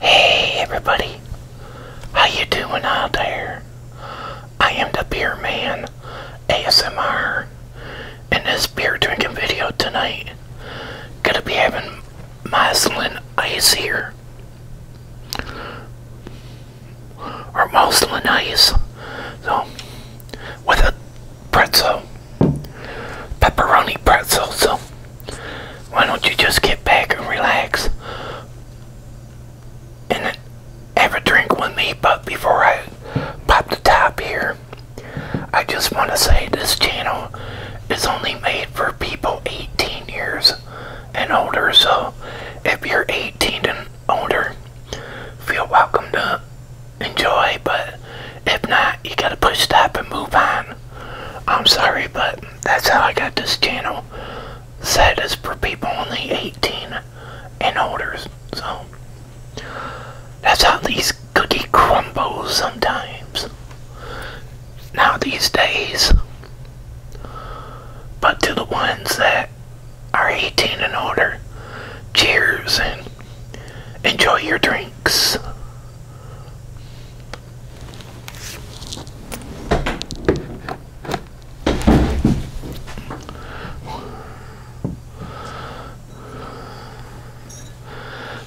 Hey everybody, how you doing out there? I am the Beer Man ASMR, and this beer drinking video tonight, gonna be having Moslin Ice here, or Moslin Ice, so with a pretzel, pepperoni pretzel, so. Why don't you just get back and relax and have a drink with me? But before I pop the top here, I just want to say this channel is only made for people 18 years and older. So if you're 18 and older, feel welcome to enjoy. But if not, you gotta push that and move on. I'm sorry, but that's how I got this channel set It's for people only 18 and older. So that's how these cookie crumbles sometimes. Now these days. But to the ones that are 18 and older, cheers and enjoy your drinks.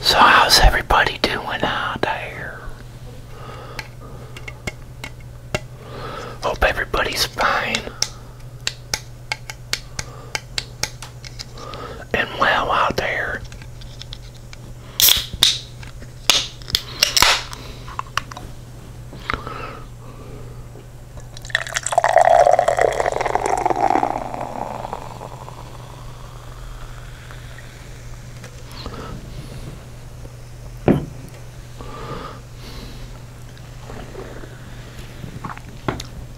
So how's everybody doing out there? Hope everybody's fine and well out there.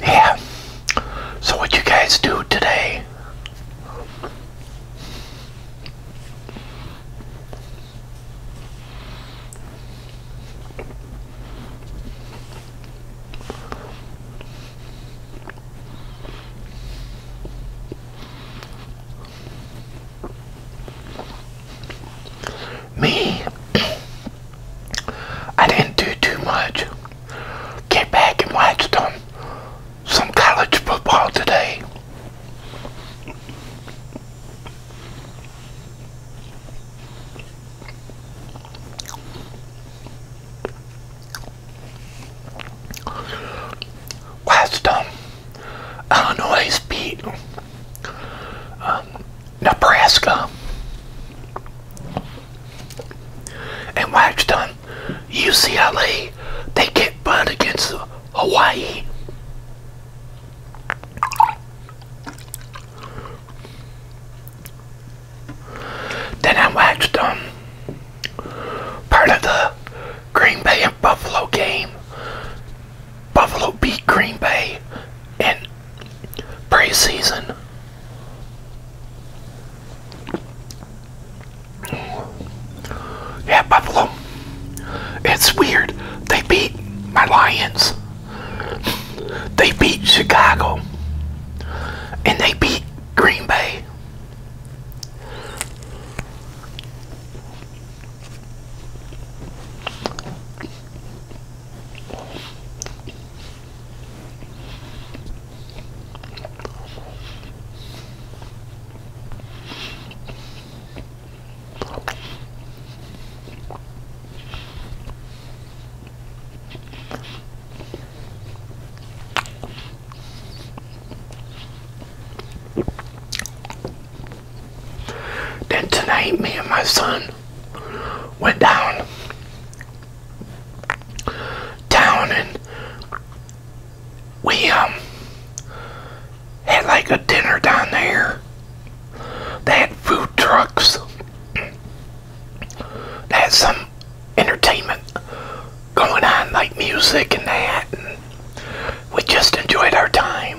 Yeah. So what you guys do today? Me, I didn't do too much. Get back and watched um, Some college football today. Weston, Illinois beat um, Nebraska and watched them UCLA, they get butt against Hawaii. Then I watched um, part of the Green Bay and Buffalo game. Buffalo beat Green Bay in preseason. Yeah, Buffalo. It's weird. They beat my Lions. They beat Chicago. And they beat Green Bay. Then tonight, me and my son went down town and we um had like a dinner down there. They had food trucks. They had some entertainment going on, like music and that. And we just enjoyed our time.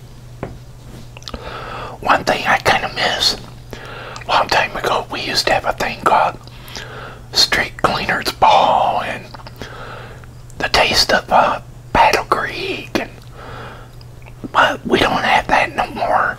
One thing I kind of miss, a long time ago, we used to have a thing called Street Cleaners Ball and the taste of uh, Battle Creek, and, but we don't have that no more.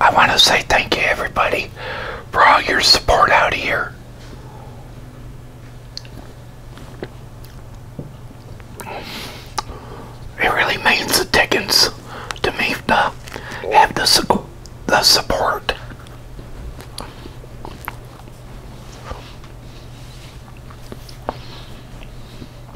I want to say thank you, everybody, for all your support out here. It really means the dickens to me to have the, the support.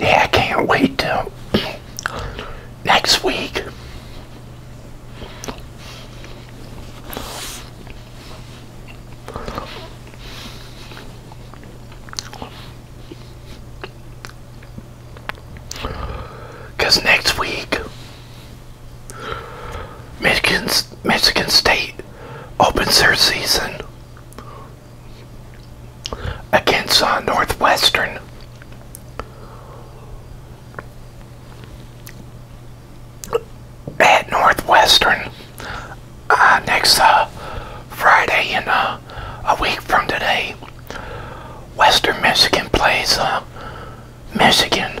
Yeah, I can't wait till next week. Because next week, Michigan, Michigan State opens their season against uh, Northwestern. At Northwestern. Uh, next uh, Friday in uh, a week from today, Western Michigan plays Michigan.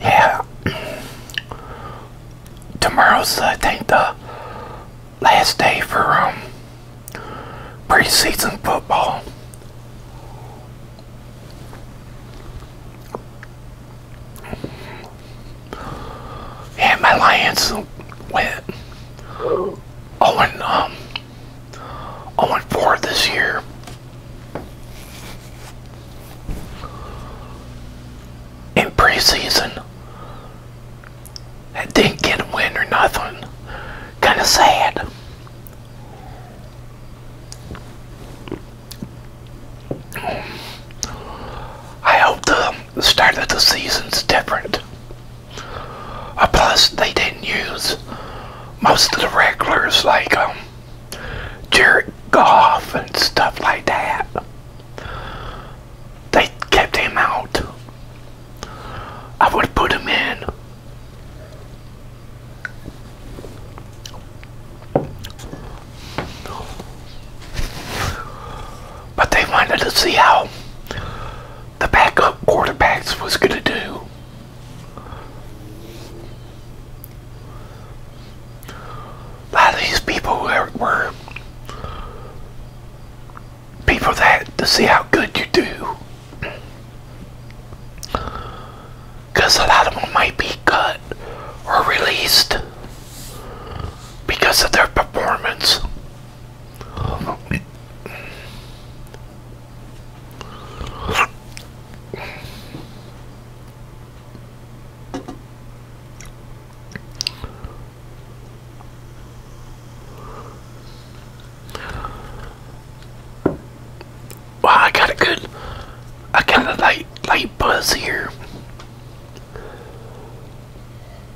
Yeah. Tomorrow's, I think, the last day for um, preseason football. Yeah, my Lions went. 0 and, um, 0 and 4 this year. In preseason, I didn't get a win or nothing. Kind of sad. I hope the start of the season's different. Uh, plus, they didn't use most of the regulars like um, Jared Goff and stuff like that. They kept him out. I would put him in. But they wanted to see how the backup quarterbacks was going to do. A lot of these people were, people that to see how good you do. Because a lot of them might be cut or released because of their performance. Well, I got a good, I got a light, light buzz here.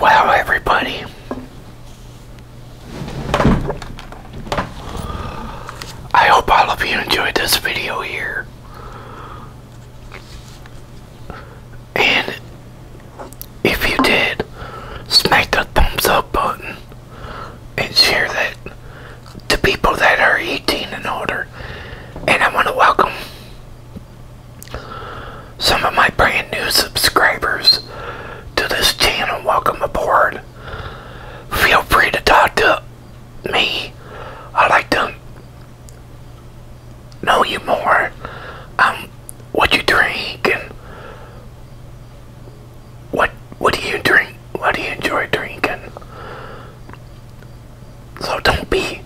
Wow, everybody. I hope all of you enjoyed this video here. And if you did, smack the thumbs up button and share that to people that are 18 and older. And I want to welcome some of my brand new subscribers to this channel, welcome aboard. Feel free to talk to me. I like to know you more. Um, what you drink what what do you drink? What do you enjoy drinking? So don't be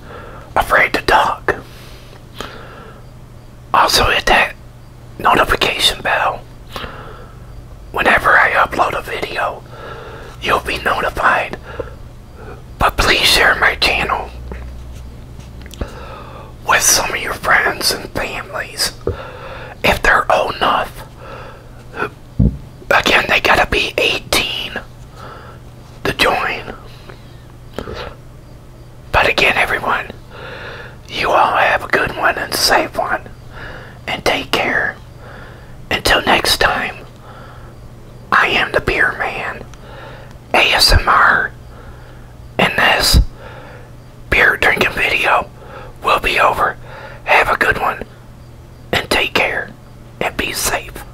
afraid to talk. Also hit that notification bell. Whenever I upload a video, you'll be notified. But please share my channel with some of your friends and families if they're old enough. Again, they gotta be 18 to join. But again, everyone, you all have a good one and safe one. And take care. Until next time, I am the Beer Man, ASMR, and this beer drinking video will be over. Have a good one, and take care, and be safe.